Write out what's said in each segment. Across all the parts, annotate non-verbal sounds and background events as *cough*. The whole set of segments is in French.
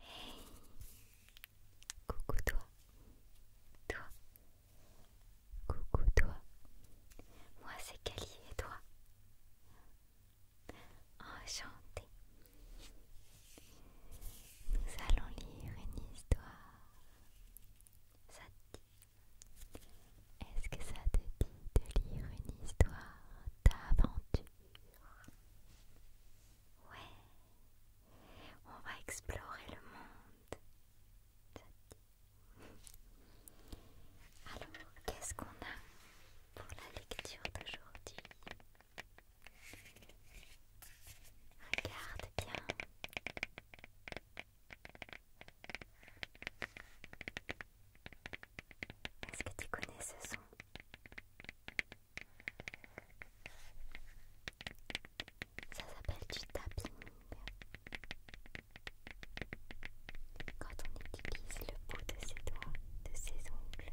Hey Coucou toi Toi Coucou toi Moi c'est Kelly et toi Enchantée Nous allons lire une histoire Ça dit Est-ce que ça te dit de lire une histoire d'aventure Ouais, on va explorer le monde. Alors, qu'est-ce qu'on a pour la lecture d'aujourd'hui Regarde bien. Est-ce que tu connais ce son ça s'appelle du tapping. Quand on utilise le bout de ses doigts, de ses ongles,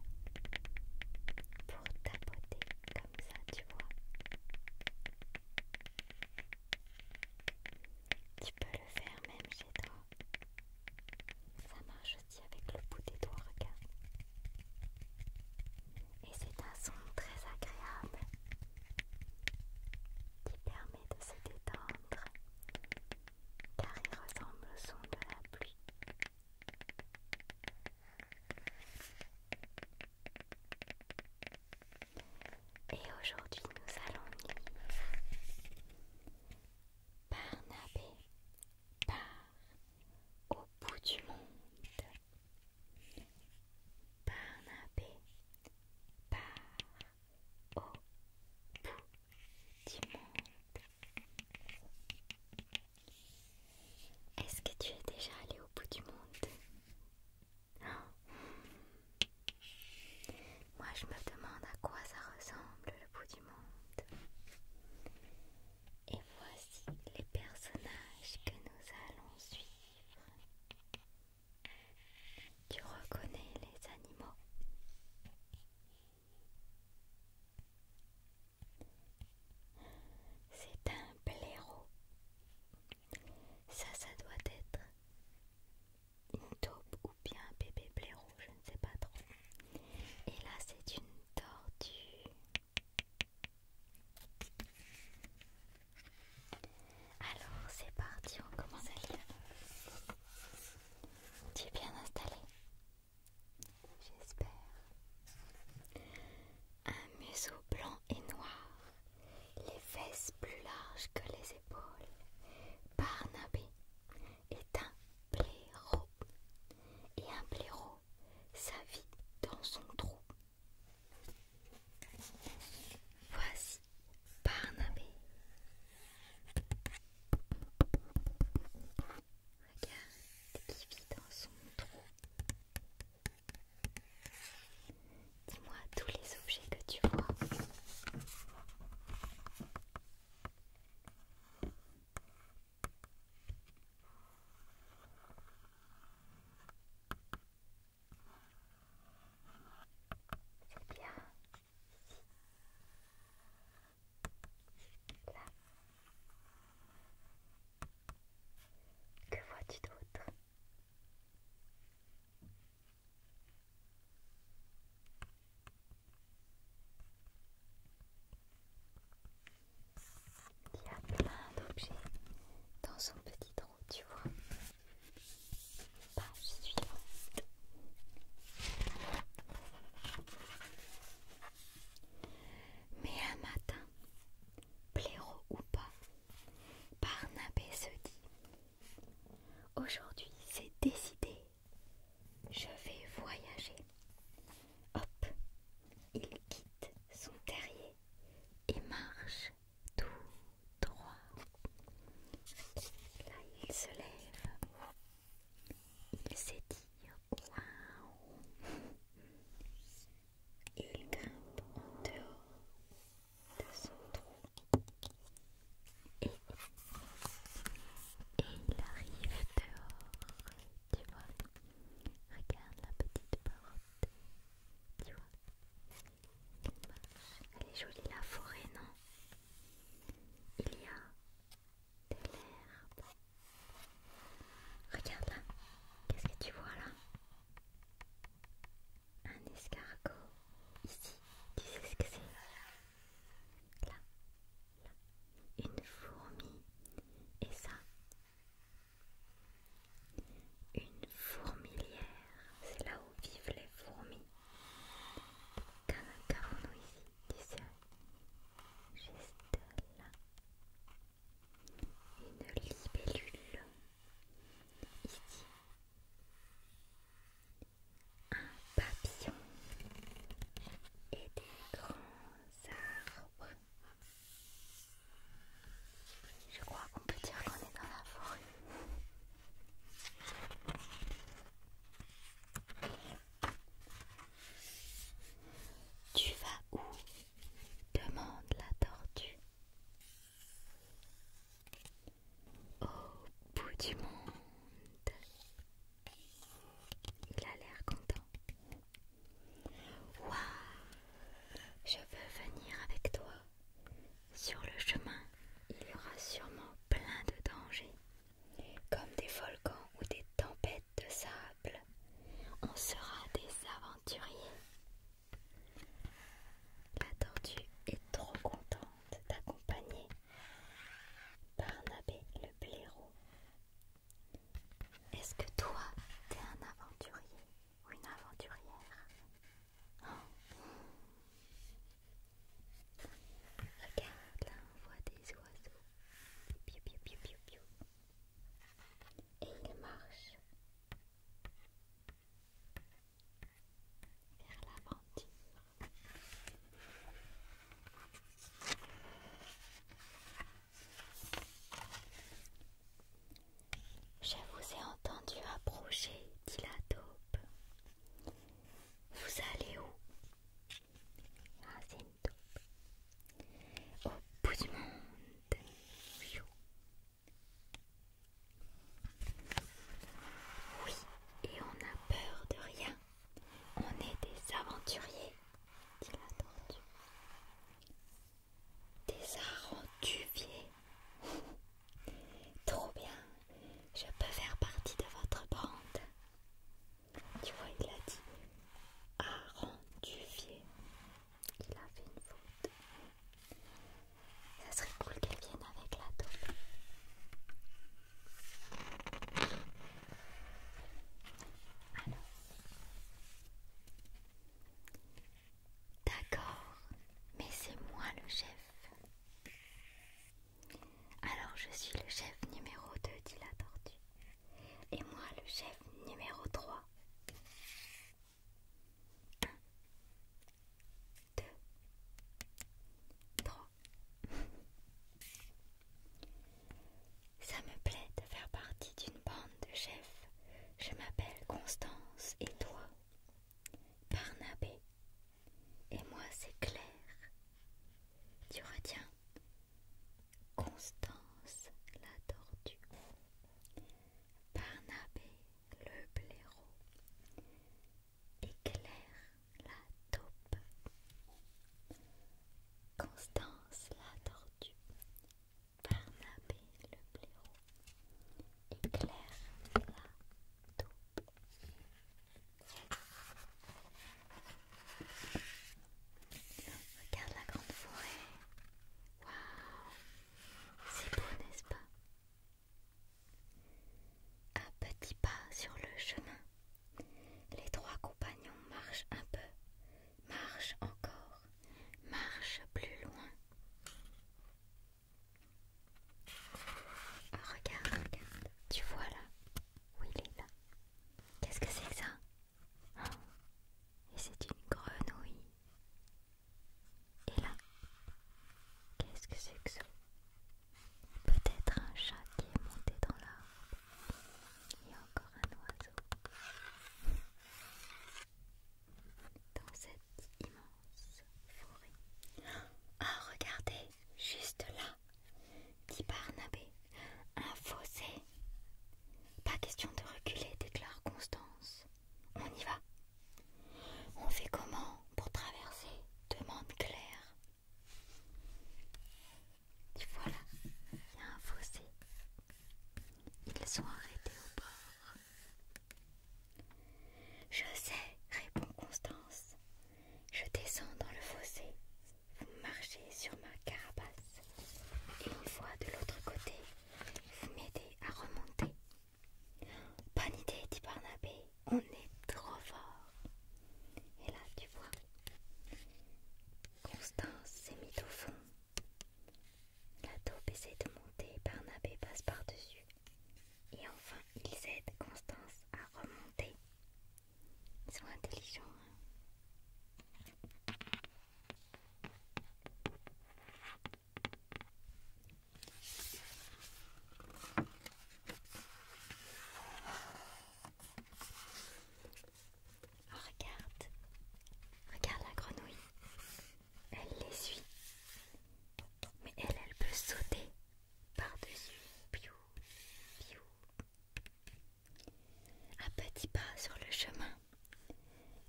pour tapoter comme ça, tu vois. Tu peux le faire même chez toi. Ça marche avec le bout des doigts, Et c'est un son très agréable qui permet de se détendre car il ressemble au son de la pluie. Et aujourd'hui nous allons par nabé par au bout du monde. Barnabé au bout du monde. Est-ce que tu es déjà allé au bout du monde Moi je me demande à quoi ça ressemble le bout du monde. Et voici les personnages que nous allons suivre. Tu reconnais les animaux C'est un blaireau. Ça, ça doit être une taupe ou bien un bébé blaireau, je ne sais pas trop. Et là, c'est une tortue. Alors c'est parti, on commence à lire. Tu es bien installé J'espère. Un museau blanc et noir, les fesses plus larges que les épaules, Barnabé est un blaireau et un blaireau sa vie dans son trou. Voici Barnabé. Regarde qui vit dans son trou. Dis-moi tous les objets que tu vois. C'est bien ici. Là. Que vois-tu d'autre il y a plein d'objets dans son petit trou, tu vois. Page suivante. Mais un matin, pléro ou pas, Barnabé se dit Aujourd'hui, c'est décidé, je vais voyager. Hop, il quitte son terrier et marche tout droit. Là, il se lève. Il s'étire. Waouh Il grimpe en dehors de son trou. et il arrive dehors tu vois. Regarde la petite porte, tu vois. Elle est jolie la forêt, non Il y a de l'herbe. Regarde là, qu'est-ce que tu vois là Un escargot. Ici, tu sais ce que c'est Là, une fourmi et ça, une fourmilière, c'est là où vivent les fourmis. Qu'avons-nous ici D'ici, juste là, une libellule. Ici, un papillon et des grands arbres. Je crois qu'on peut dire qu'on est dans la forêt. Tu vas où demande la tortue. Au bout du monde. Il a l'air content. Waouh Je veux venir avec toi. Sur le chemin, il y aura sûrement plein de dangers, comme des volcans ou des tempêtes de sable. On sera des aventuriers. La tortue est trop contente d'accompagner Barnabé le blaireau est-ce que toi, t'es un aventurier ou une aventurière oh. Regarde, là on voit des oiseaux. Et il marche vers l'aventure. Je vous ai entendu approcher, dit la taupe. Vous allez où Ah, c'est une taupe. Au bout du monde. Oui, et on n'a peur de rien. On est des aventuriers, dit la Des arentuviers. *laughs* Trop bien, je peux faire partie de votre bande. Tu vois, il a dit arentuvier. Il a fait une faute. Ça serait cool qu'elle vienne avec la taupe. Alors, D'accord, mais c'est moi le chef. Alors je suis le chef numéro 2, dit la tortue. Et moi le chef numéro 3. 1, 2, 3. Ça me plaît de faire partie d'une bande de chefs. Je m'appelle Constance et toi Barnabé. Et moi c'est Claire. Tu retiens Constance la tortue. Barnabé le blaireau. Et Claire la taupe. Constance la tortue, Barnabé le blaireau et la taupe. Regarde la grande forêt. Waouh, c'est beau, n'est-ce pas? Un petit pas sur le chemin, les trois compagnons marchent un peu marche encore, marche plus loin. Oh, regarde, regarde, tu vois là où il est là. Qu'est-ce que c'est que ça oh. Et c'est une grenouille. Et là, qu'est-ce que c'est que ça Peut-être un chat qui est monté dans l'arbre. Il y a encore un oiseau dans cette immense forêt. Ah, regardez, juste là, dit Barnabé, un fossé. Pas question de reculer, déclare Constance. On y va. On fait comment pour traverser demande Claire. « Tu vois là, il y a un fossé. Ils sont arrêtés au bord. Je sais, répond Constance. Je descends dans le fossé. Vous marchez sur ma carapace. Et une fois de l'autre côté, vous m'aidez à remonter. Bonne idée, dit Barnabé. On est trop fort. Et là, tu vois, Constance s'est mise au fond. La taupe essaie de monter, Barnabé passe par-dessus. Et enfin, ils aident Constance à remonter. Ils sont intelligents. Hein. Oh, regarde, regarde la grenouille. Elle les suit, mais elle, elle peut sauter par-dessus. Piou, piou. À petits pas sur le chemin,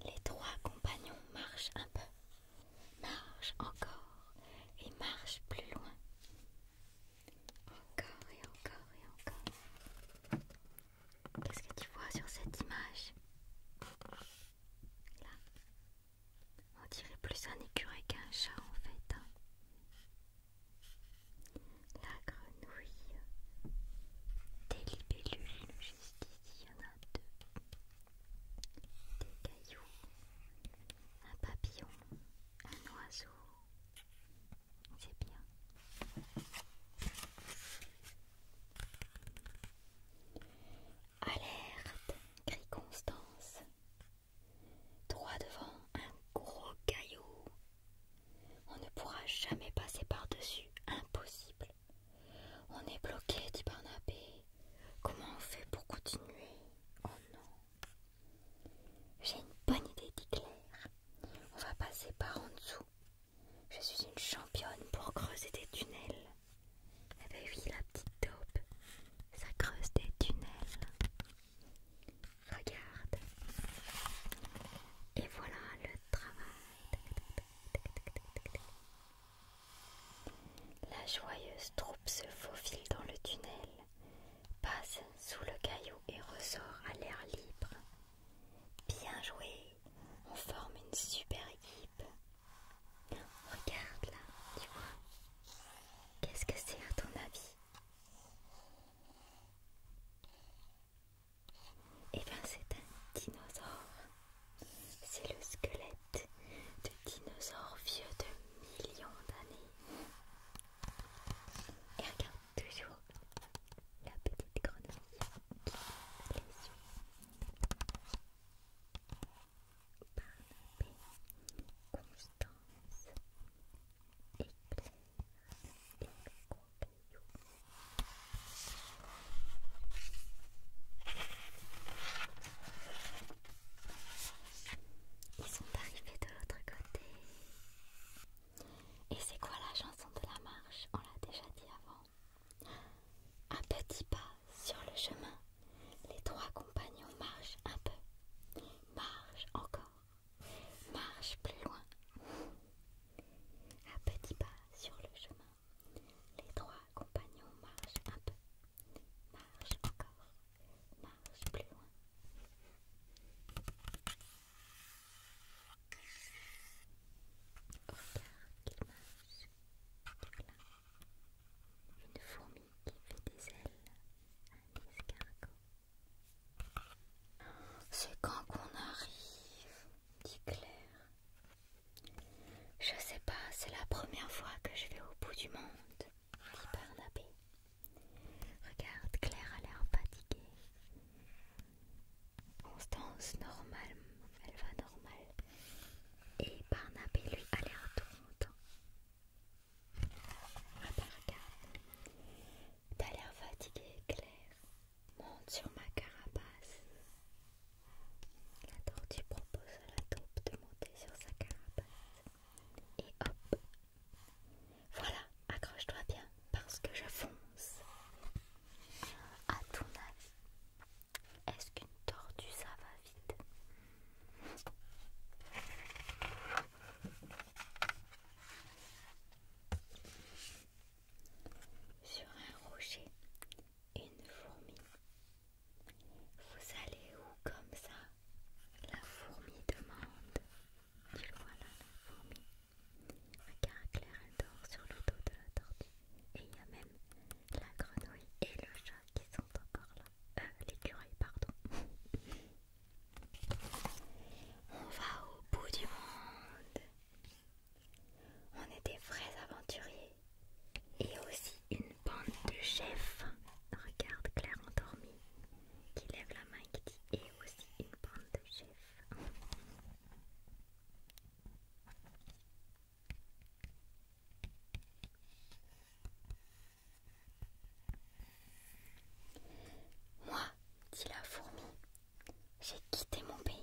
les trois compagnons marchent un peu, marchent encore et marchent plus loin. Encore et encore et encore. Qu'est-ce que tu vois sur cette image Là. On dirait plus un écureuil qu'un chat en fait. Hein. La grenouille. Des libellules, juste ici, il y en a deux. Des cailloux. Un papillon. Un oiseau c'est bien. Alerte, crie Constance. Droit devant un gros caillou. On ne pourra jamais passer par-dessus, impossible. On est bloqué, dit Barnabé. Comment on fait pour continuer Oh non. J'ai une bonne idée, dit Claire. On va passer par en dessous. Je suis une championne pour creuser des tunnels. Eh bien oui, la petite taupe, ça creuse des tunnels. Regarde. Et voilà le travail. La joyeuse troupe se faufile dans le tunnel, passe sous le caillou et ressort à l'air libre. Bien joué, on forme une super équipe. Regarde là, tu vois. Qu'est-ce que c'est à ton avis Eh bien c'est un dinosaure. C'est le squelette de dinosaures vieux de millions d'années. Et regarde, toujours la petite grenouille qui les suit. paix, Constance, Éclair et Campello. Ils sont arrivés de l'autre côté. Et c'est quoi la chanson de la marche On l'a déjà dit avant. Un petit pas sur le chemin, les trois compagnons marchent un peu, marchent encore, marchent plus loin. Un petit pas sur le chemin, les trois compagnons marchent un peu, marchent encore, marchent plus loin. Une fourmi qui fait des ailes à l'escargot C'est quand qu'on arrive, dit Claire. Je sais pas, c'est la première fois que je vais au bout du monde, dit Barnabé. Regarde, Claire a l'air fatiguée. Constance normale, elle va normale. Et Barnabé lui a l'air tout Ah bah regarde, t'as l'air fatigué Claire, monte sur ma carapace. La tortue propose à la taupe de monter sur sa carapace. Et hop, voilà, accroche-toi bien parce que je fonce. À ton avis, est-ce qu'une tortue ça va vite Sur un rocher, une fourmi. Vous allez où comme ça La fourmi demande. vois voilà la fourmi. Claire elle dort sur le dos de la tortue. Et il y a même la grenouille et le chat qui sont encore là. Euh, l'écureuil, pardon. *laughs* On va au bout du monde. On est des vrais aventuriers. Et aussi une bande de chefs. Regarde Claire endormie qui lève la main et qui dit et aussi une bande de chefs. Moi, dit la fourmi, j'ai quitté mon pays.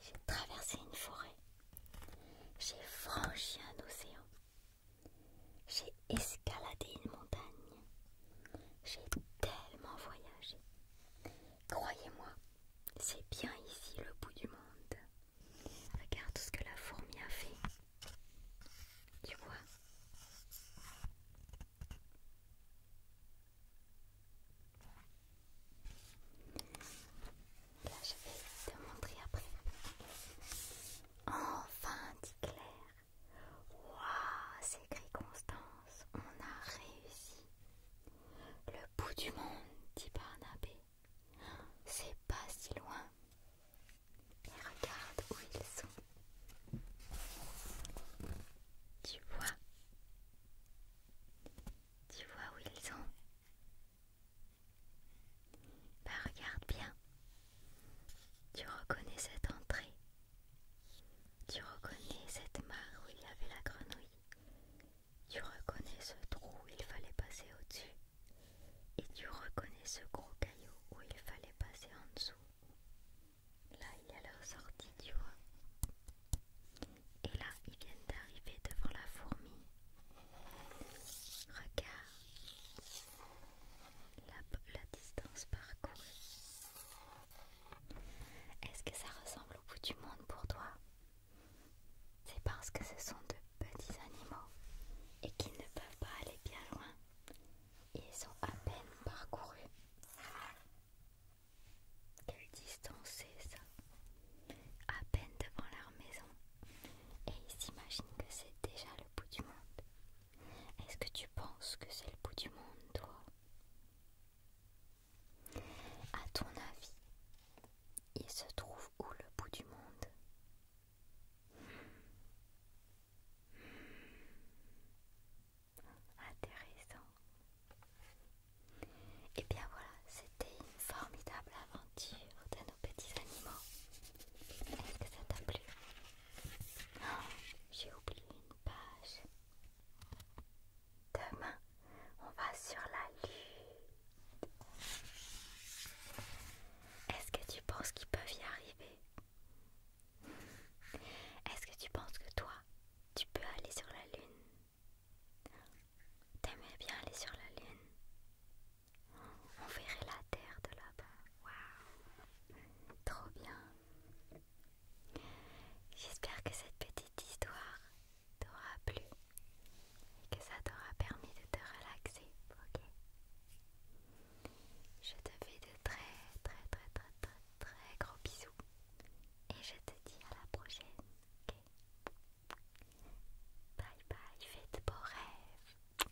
J'ai traversé une forêt. J'ai franchi un océan. J'ai escaladé une montagne. J'ai tellement voyagé. Croyez-moi, c'est bien ici le bout du monde. Regarde tout ce que la fourmi a fait. Tu vois Là, je vais te montrer après. Enfin, dit Claire, Waouh, s'écrie Constance, on a réussi. Le bout du monde, dit Barnabé. C'est pas si loin. Mais regarde où ils sont. Tu vois Tu vois où ils sont Bah regarde bien. Tu reconnais cette entrée tu reconnais cette mare où il y avait la grenouille. Tu reconnais ce trou où il fallait passer au-dessus. Et tu reconnais ce gros caillou où il fallait passer en dessous. Là, il y a leur sortie, tu vois. Et là, ils viennent d'arriver devant la fourmi. Regarde la, la distance parcourue. Est-ce que ça ressemble au bout du monde pour toi C'est parce que ce sont de petits animaux et qu'ils ne peuvent pas aller bien loin. Ils sont à peine parcourus Quelle distance c'est ça À peine devant leur maison. Et ils s'imaginent que c'est déjà le bout du monde. Est-ce que tu penses que c'est le bout du monde, toi À ton avis, il se trouve où le bout du monde hmm. Intéressant. Et eh bien voilà, c'était une formidable aventure de nos petits animaux. Est-ce que ça t'a plu j'ai oublié une page. Demain, on va sur la lune. Est-ce que tu penses qu'ils peuvent y arriver Est-ce que tu penses que toi, tu peux aller sur la lune T'aimais bien aller sur la lune On verrait la terre de là-bas. Waouh Trop bien J'espère que cette petite histoire t'aura plu et que ça t'aura permis de te relaxer, ok Je te fais de très très très très très très gros bisous et je te dis à la prochaine, Bye bye, fais de beaux rêves